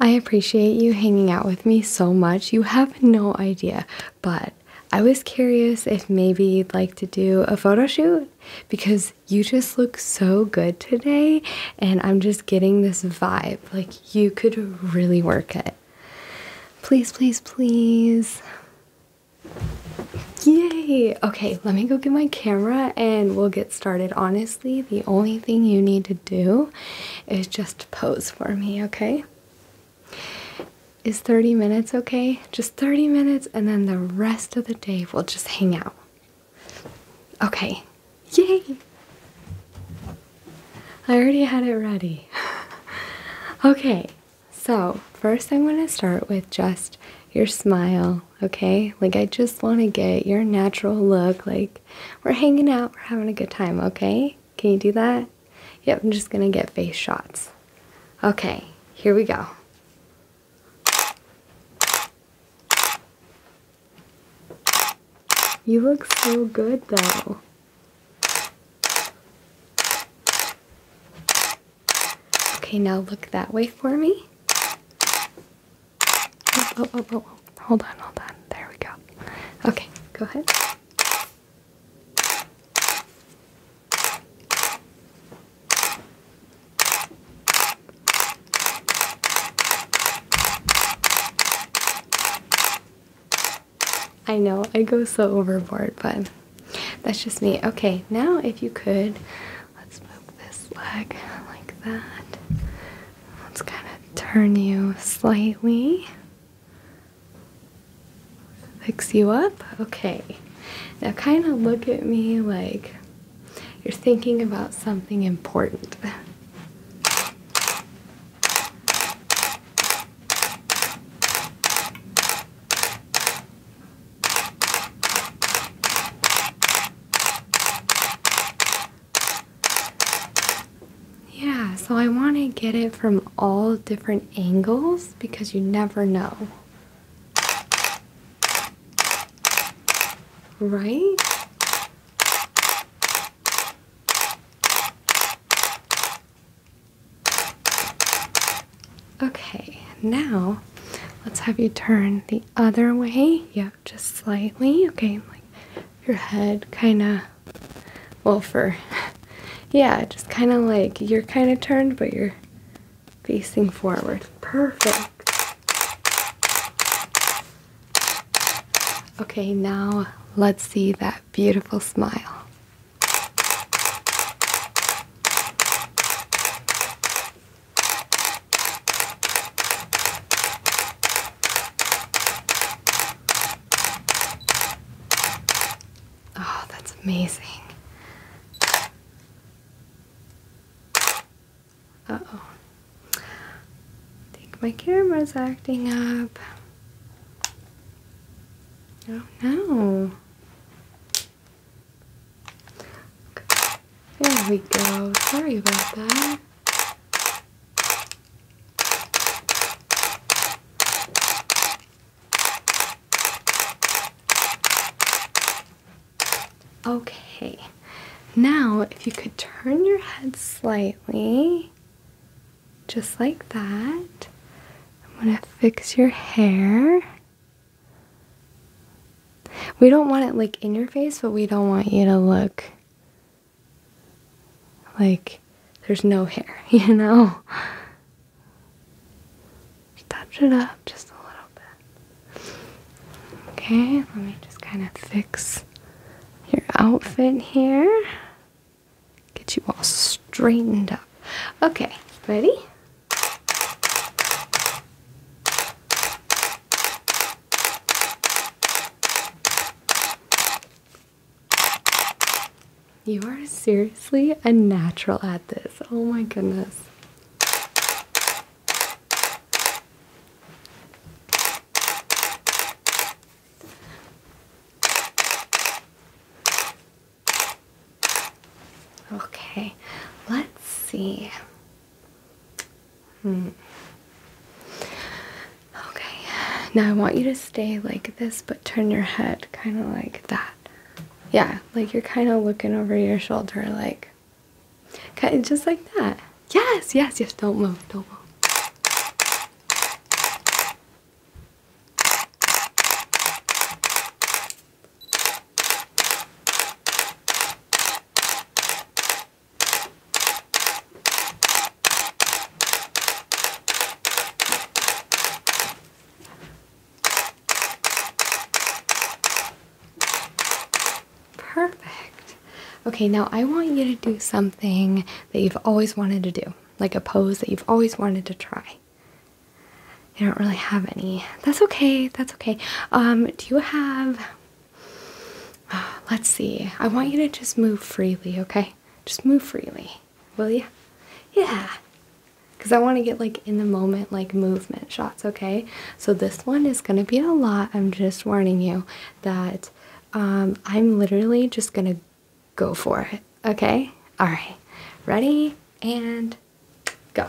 I appreciate you hanging out with me so much. You have no idea, but I was curious if maybe you'd like to do a photo shoot because you just look so good today, and I'm just getting this vibe like you could really work it. Please, please, please. Yay! Okay, let me go get my camera and we'll get started Honestly the only thing you need to do is just pose for me, okay? Is 30 minutes okay? Just 30 minutes, and then the rest of the day we'll just hang out. Okay, yay! I already had it ready. okay, so first I'm going to start with just your smile, okay? Like, I just want to get your natural look, like we're hanging out, we're having a good time, okay? Can you do that? Yep, I'm just gonna get face shots. Okay, here we go. You look so good though. Okay, now look that way for me. Oh, oh, oh, oh, oh. Hold on, hold on. There we go. Okay, go ahead. I know, I go so overboard, but that's just me. Okay, now if you could, let's move this leg like that. Let's kind of turn you slightly. Fix you up. Okay. Now, kind of look at me like you're thinking about something important. Yeah, so I want to get it from all different angles because you never know. Right? Okay, now let's have you turn the other way. Yep, just slightly. Okay, your head kind of, well, for, yeah, just kind of like you're kind of turned, but you're facing forward. Perfect. Okay, now let's see that beautiful smile. Oh, that's amazing. Uh-oh. think my camera's acting up. Oh no. Okay. There we go. Sorry about that. Okay, now if you could turn your head slightly, just like that, I'm going to fix your hair. We don't want it like in your face, but we don't want you to look like there's no hair, you know? Touch it up just a little bit. Okay, let me just kind of fix your outfit here. Get you all straightened up. Okay, ready? You are seriously a natural at this. Oh my goodness. Okay, let's see. Hmm. Okay, now I want you to stay like this, but turn your head kind of like that. Yeah, like you're kind of looking over your shoulder, like just like that. Yes, yes, yes. Don't move, don't move. Perfect. Okay, now I want you to do something that you've always wanted to do, like a pose that you've always wanted to try. You don't really have any. That's okay. That's okay. Um, do you have Let's see. I want you to just move freely, okay? Just move freely, will you? Yeah. Because I want to get like in the moment, like movement shots, okay? So this one is going to be a lot. I'm just warning you that um, I'm literally just going to go for it, okay? All right. Ready and go.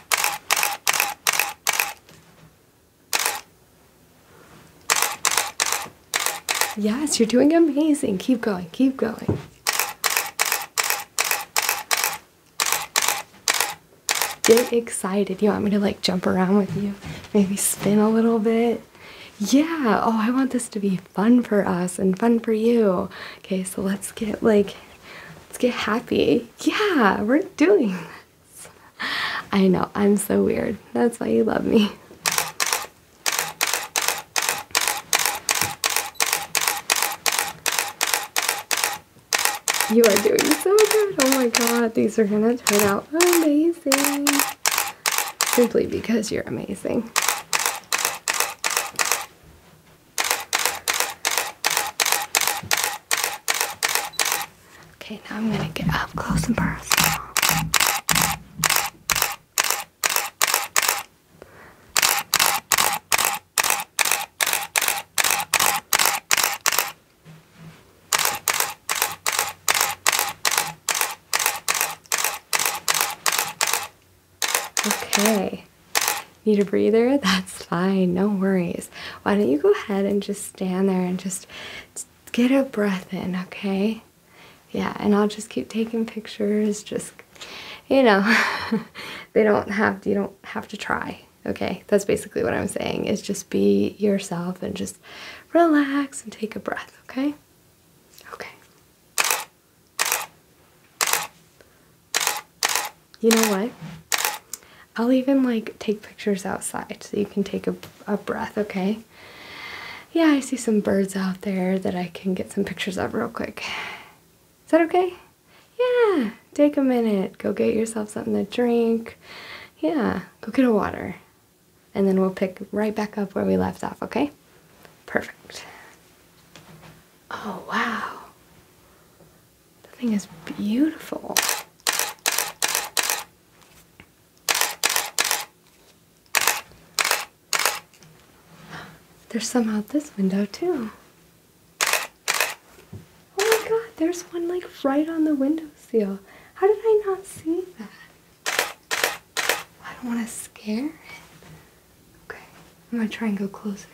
Yes, you're doing amazing. Keep going, keep going. Get excited. You want me to like jump around with you? Maybe spin a little bit? Yeah, oh, I want this to be fun for us and fun for you. Okay, so let's get like, let's get happy yeah, we're doing this. I know, I'm so weird. That's why you love me. You are doing so good. Oh my god, these are gonna turn out amazing. Simply because you're amazing. Okay, now I'm going to get up close and personal. Okay. Need a breather? That's fine. No worries. Why don't you go ahead and just stand there and just get a breath in, okay? Yeah, and I'll just keep taking pictures. Just, you know, they don't have, you don't have to try. Okay, that's basically what I'm saying is just be yourself and just relax and take a breath, okay? Okay. You know what? I'll even like take pictures outside so you can take a, a breath, okay? Yeah, I see some birds out there that I can get some pictures of real quick. Is that okay? Yeah, take a minute. Go get yourself something to drink. Yeah, go get a water. And then we'll pick right back up where we left off, okay? Perfect. Oh, wow. The thing is beautiful. There's some out this window, too. Oh my god, there's one like right on the window seal. How did I not see that? I don't want to scare it. Okay, I'm gonna try and go closer.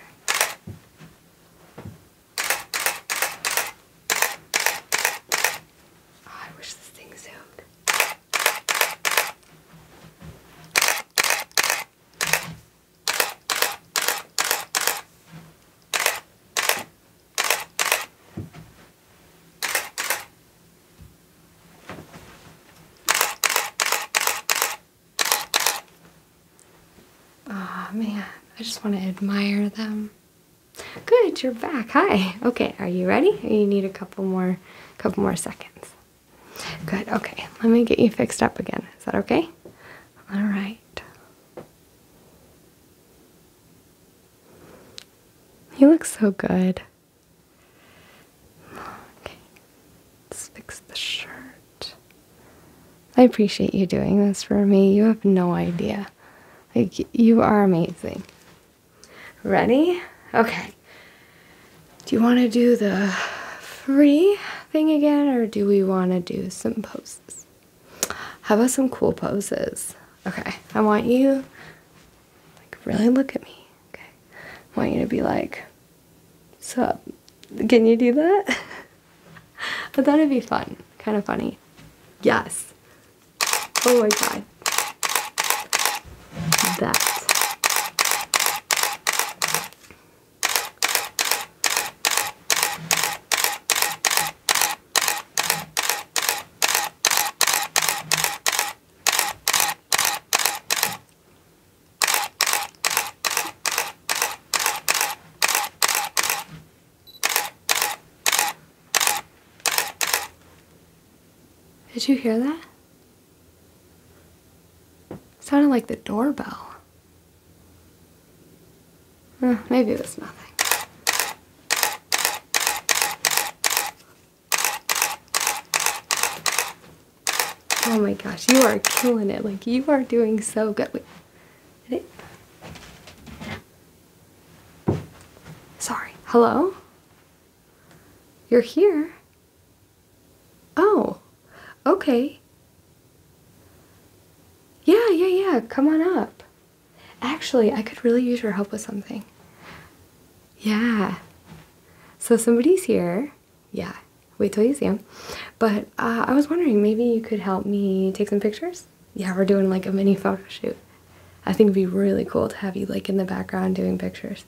Oh, I wish this thing zoomed. Oh man, I just want to admire them. Good, you're back. Hi. Okay, are you ready? You need a couple more couple more seconds. Good. Okay. Let me get you fixed up again. Is that okay? All right. You look so good. Okay. Let's fix the shirt. I appreciate you doing this for me. You have no idea. Like, you are amazing. Ready? Okay. Do you want to do the free thing again, or do we want to do some poses? How about some cool poses? Okay. I want you, like, really look at me. Okay. I want you to be like, so, can you do that? I thought it'd be fun, kind of funny. Yes. Oh my god. That. Did you hear that? sounded like the doorbell. maybe it was nothing. Oh my gosh, you are killing it. Like, you are doing so good. Sorry. Hello? You're here? Oh, okay. Yeah, yeah, yeah. Come on up. Actually, I could really use your help with something. Yeah. So somebody's here yeah, wait till you see them. But uh, I was wondering, maybe you could help me take some pictures? Yeah, we're doing like a mini photo shoot. I think it'd be really cool to have you like in the background doing pictures.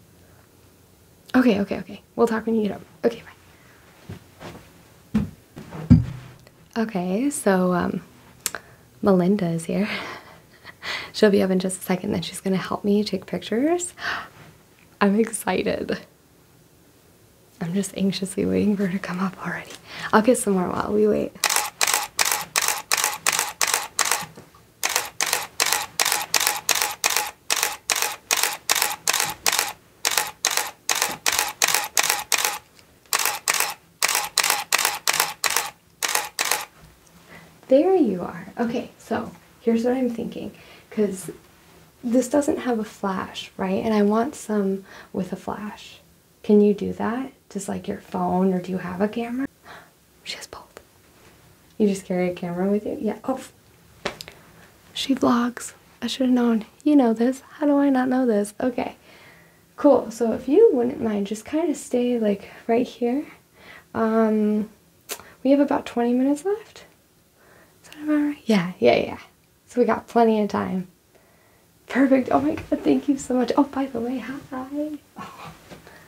Okay, okay, okay. We'll talk when you get up. Okay, bye. Okay, so um, Melinda is here. She'll be up in just a second, then she's gonna help me take pictures. I'm excited. I'm just anxiously waiting for her to come up already. I'll get some more while we wait. There you are. Okay, so here's what I'm thinking. Because this doesn't have a flash, right? And I want some with a flash. Can you do that? Just like your phone, or do you have a camera? She has both. You just carry a camera with you? Yeah. Oh. She vlogs. I should have known. You know this. How do I not know this? Okay. Cool. So if you wouldn't mind, just kind of stay like right here. Um, we have about 20 minutes left. Yeah, yeah, yeah. So we got plenty of time. Perfect. Oh my god, thank you so much. Oh, by the way, hi.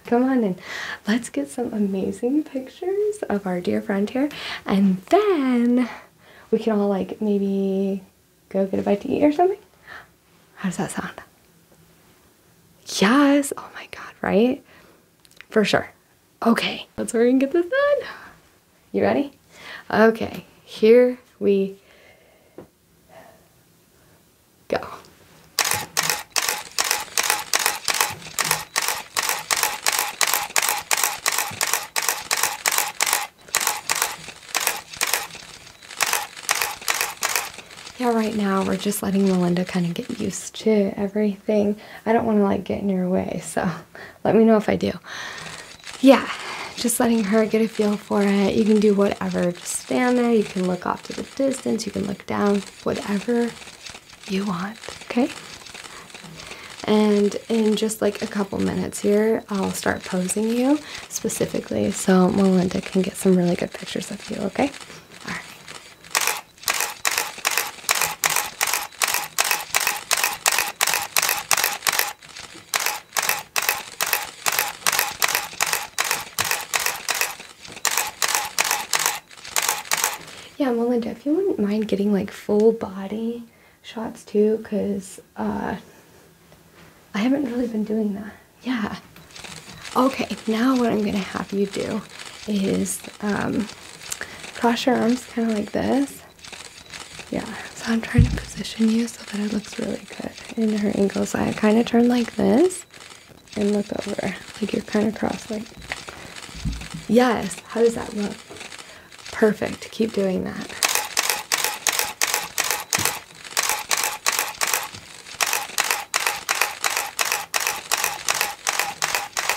come on in. Let's get some amazing pictures of our dear friend here. And then we can all like maybe go get a bite to eat or something. How does that sound? Yes. Oh my god, right? For sure. Okay, let's hurry and get this done. You ready? Okay, here we go. Yeah, right now we're just letting Melinda kind of get used to everything. I don't want to like get in your way, so let me know if I do. Yeah, just letting her get a feel for it. You can do whatever. Just stand there. You can look off to the distance. You can look down. Whatever you want. Okay. And in just like a couple minutes here, I'll start posing you specifically so Melinda can get some really good pictures of you, okay? All right. Yeah, Melinda, if you wouldn't mind getting like full body shots too, because uh, I haven't really been doing that. Yeah. Okay, now what I'm going to have you do is um, cross your arms kind of like this. Yeah, so I'm trying to position you so that it looks really good in her ankle. So I kind of turn like this and look over, like you're kind of cross like. Yes, how does that look? Perfect, keep doing that.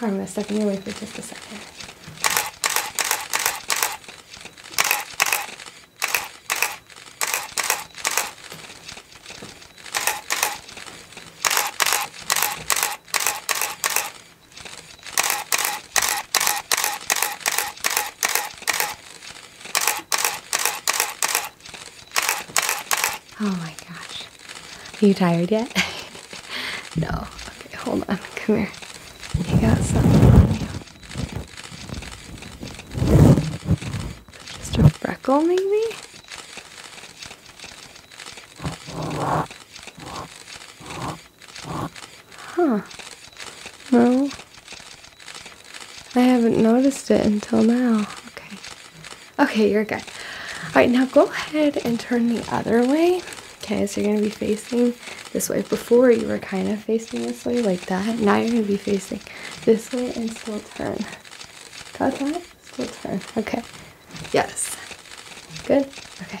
I'm going to step in your way for just a second. Oh my gosh. Are you tired yet? no. Okay, hold on. Come here. You got something on you. Just a freckle, maybe? Huh. No. I haven't noticed it until now. Okay. Okay, you're good. All right, now go ahead and turn the other way. Okay, so you're gonna be facing this way. Before you were kind of facing this way like that. Now you're gonna be facing this way and still turn. Got that? Still turn. Okay. Yes. Good? Okay.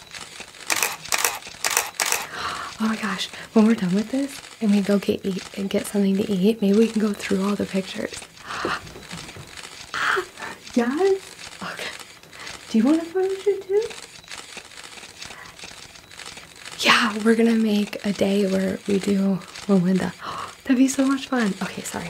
Oh my gosh, when we're done with this and we go get eat and get something to eat, maybe we can go through all the pictures. yes? Do you want to photo shoot too? Yeah, we're gonna make a day where we do Melinda. That'd be so much fun. Okay, sorry.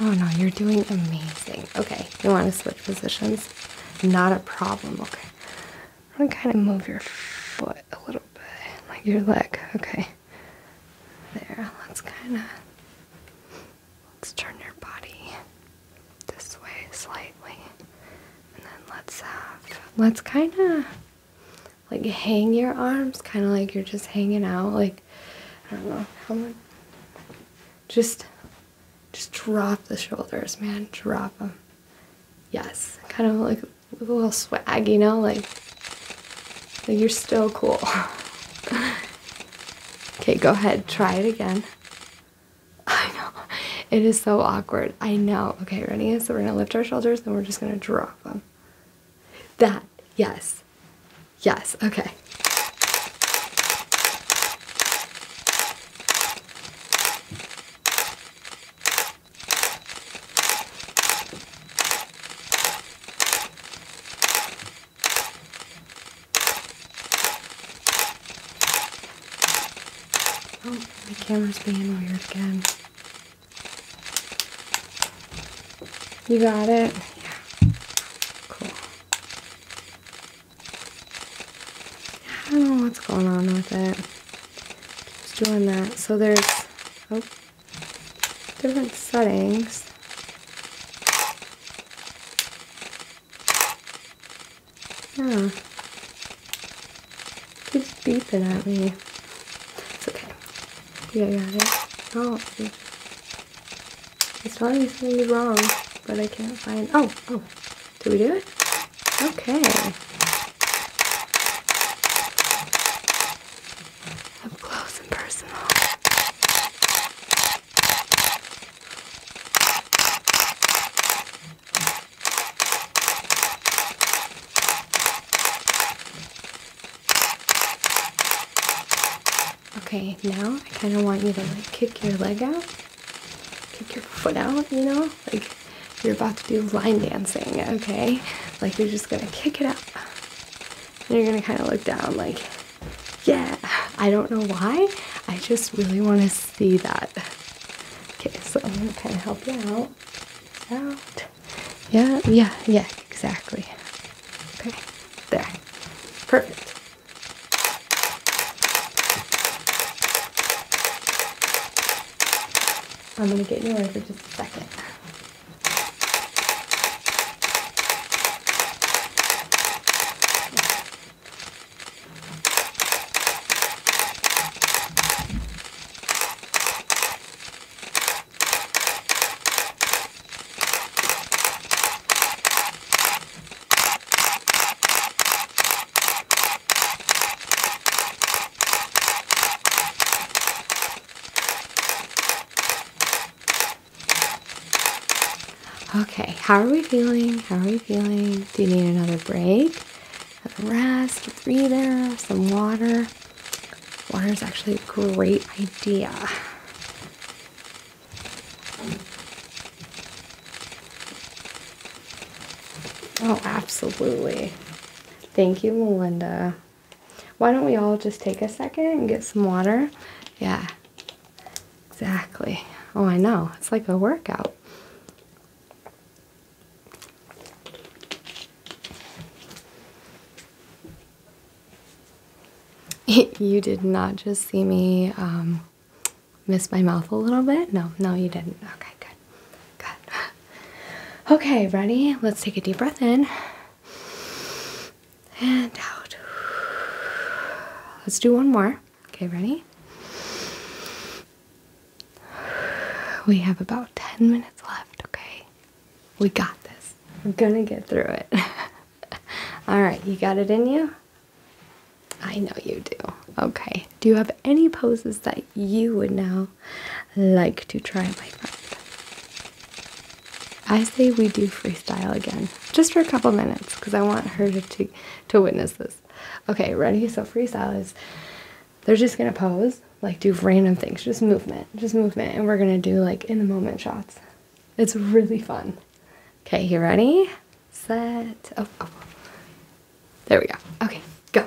Oh no, you're doing amazing. Okay, you want to switch positions? Not a problem. Okay. I'm to kind of move your foot a little bit, like your leg. Okay. There. Let's kind of let's turn your body this way slightly, and then let's have let's kind of like hang your arms kind of like you're just hanging out like i don't know just just drop the shoulders man drop them yes kind of like a little swag you know like like you're still cool okay go ahead try it again i know it is so awkward i know okay ready so we're gonna lift our shoulders colors and we're just going to drop them. That, yes. Yes, okay. Oh, my camera's being weird again. You got it? Yeah. Cool. I don't know what's going on with it. Keeps doing that. So there's oh different settings. Yeah. Keeps beeping at me. It's okay. Yeah, I got it. Oh, it's telling me something wrong, but I can't find. Oh, oh, did we do it? Okay. close and personal. Okay, now I kind of want you to like kick your leg out, kick your foot out, you know? Like you're about to do line dancing, okay? Like you're just gonna kick it up. you're gonna kind of look down, like, yeah. I don't know why, I just really want to see that. Okay, so I'm gonna kind of help you out out. Yeah, yeah, yeah, exactly. Okay, there. Perfect. I'm going to get yours for just a second. Okay, how are we feeling? How are we feeling? Do you need another break? a rest, a breather, some water. Water is actually a great idea. Oh, absolutely. Thank you, Melinda. Why don't we all just take a second and get some water? Yeah, exactly. Oh, I know. It's like a workout. you did not just see me um, miss my mouth a little bit? No, no, you didn't. Okay, good. Good. Okay, ready? Let's take a deep breath in and out. Let's do one more. Okay, ready? We have about 10 minutes left, okay? We got this. We're gonna get through it. Alright, you got it in you? I know you do. Okay. Do you have any poses that you would now like to try, my friend? I say we do freestyle again, just for a couple minutes, because I want her to, to witness this. Okay, ready? So freestyle is they're just gonna pose, like do random things, just movement, just movement, and we're gonna do like in the moment shots. It's really fun. Okay, you ready? Set. Oh, oh. There we go. Okay, go.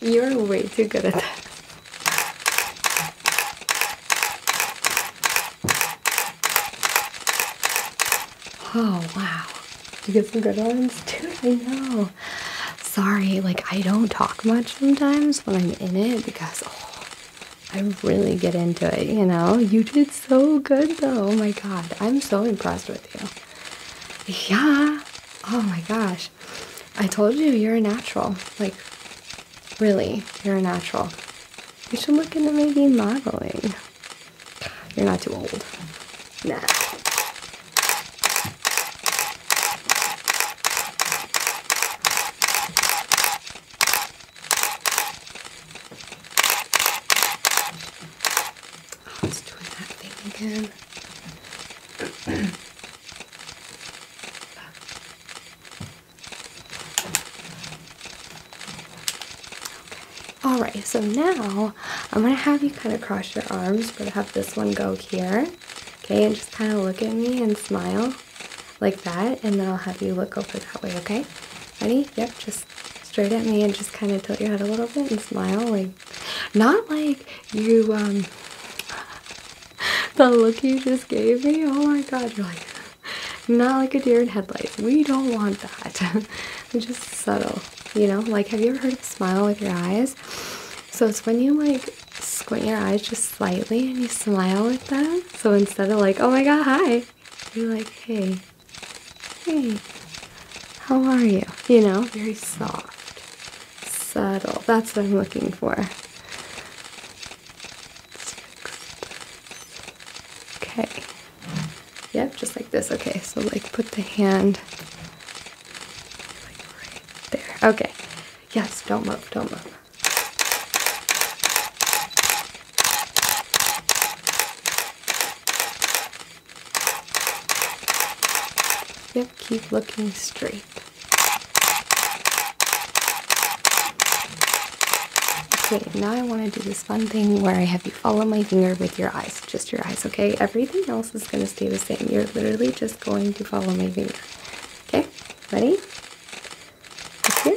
You're way too good at that. Oh wow. You get some good ones too? I know. Sorry, like I don't talk much sometimes when I'm in it because oh, I really get into it, you know? You did so good though. Oh my god. I'm so impressed with you. Yeah. Oh my gosh. I told you you're a natural. Like Really, you're a natural. You should look into maybe modeling. You're not too old. Nah. Oh, it's doing that thing again. All right, so now I'm gonna have you kind of cross your arms. but have this one go here, okay, and just kind of look at me and smile like that, and then I'll have you look over that way, okay? Ready? Yep, just straight at me and just kind of tilt your head a little bit and smile, like not like you um the look you just gave me. Oh my God, you're like Not like a deer in headlights. We don't want that. Just subtle, you know. Like, have you ever heard of smile with your eyes? So it's when you like squint your eyes just slightly and you smile with them. So instead of like, oh my god, hi, you're like, hey, hey, how are you? You know, very soft, subtle. That's what I'm looking for. Okay. Yep, just like this. Okay, so like put the hand there. Okay. Yes, don't move, don't move. Yep, keep looking straight. Okay, now I want to do this fun thing where I have you follow my finger with your eyes, just your eyes, okay? Everything else is going to stay the same. You're literally just going to follow my finger. Okay, ready? here.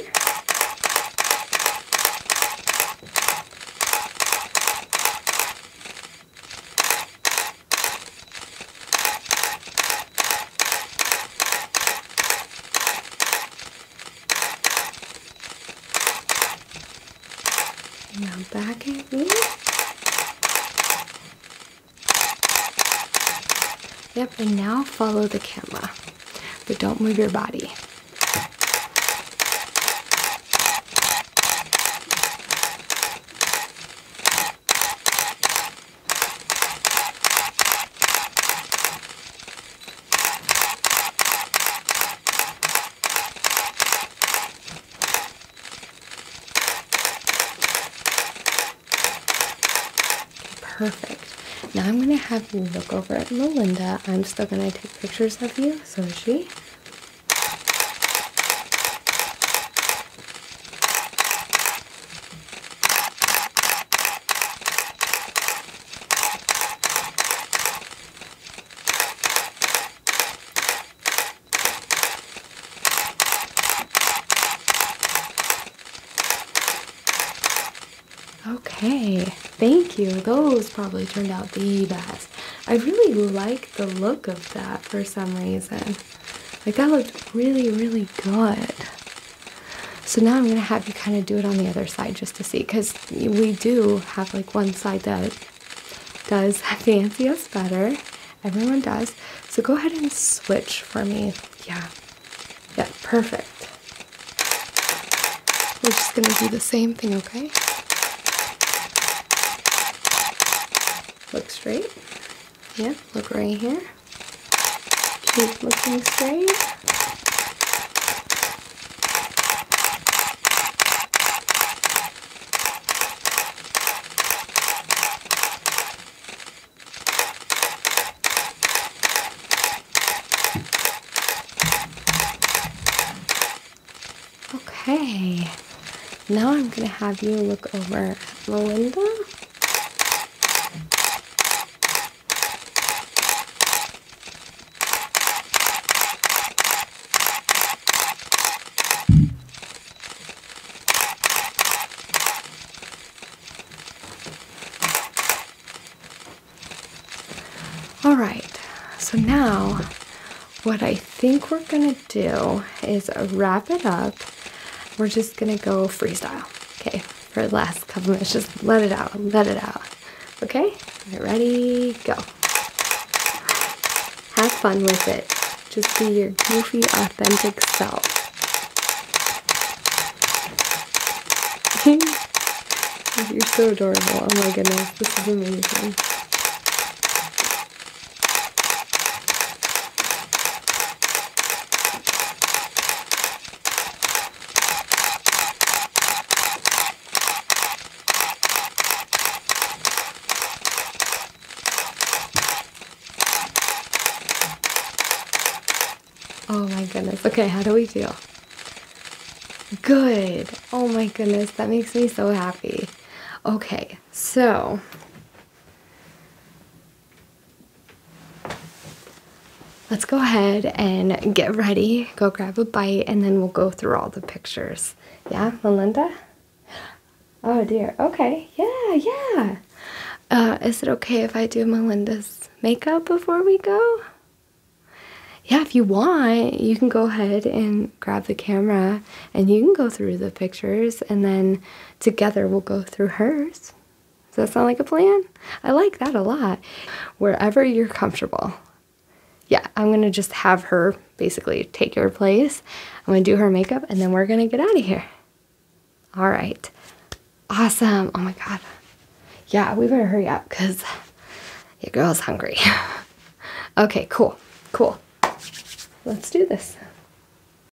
Now back at me. Yep, and now follow the camera, but don't move your body. Perfect. Now I'm going to have you look over at Melinda. I'm still going to take pictures of you. So she. Okay, thank you. Those probably turned out the best. I really like the look of that for some reason. Like that looked really, really good. So now I'm going to have you kind of do it on the other side just to see because we do have like one side that does have the us better. Everyone does. So go ahead and switch for me. Yeah. Yeah, perfect. We're just going to do the same thing, okay? Look straight. Yeah, look right here. Cute looking sleeve. Okay, now I'm gonna have you look over Melinda all right, so now what I think we're gonna do is wrap it up we're just gonna go freestyle, okay? For the last couple minutes, just let it out, let it out, okay? All right, ready, go. Have fun with it. Just be your goofy, authentic self. You're so adorable. Oh my goodness, this is amazing. Oh my goodness. Okay, how do we feel? Good. Oh my goodness. That makes me so happy. Okay, so Let's go ahead and get ready, go grab a bite, and then we'll go through all the pictures. Yeah, Melinda? Oh dear, okay, yeah, yeah. Uh, is it okay if I do Melinda's makeup before we go? Yeah, if you want, you can go ahead and grab the camera and you can go through the pictures and then together we'll go through hers. Does that sound like a plan? I like that a lot. Wherever you're comfortable. Yeah, I'm gonna just have her basically take your place. I'm gonna do her makeup and then we're gonna get out of here. All right. Awesome. Oh my God. Yeah, we better hurry up because your girl's hungry. okay, cool. Cool. Let's do this.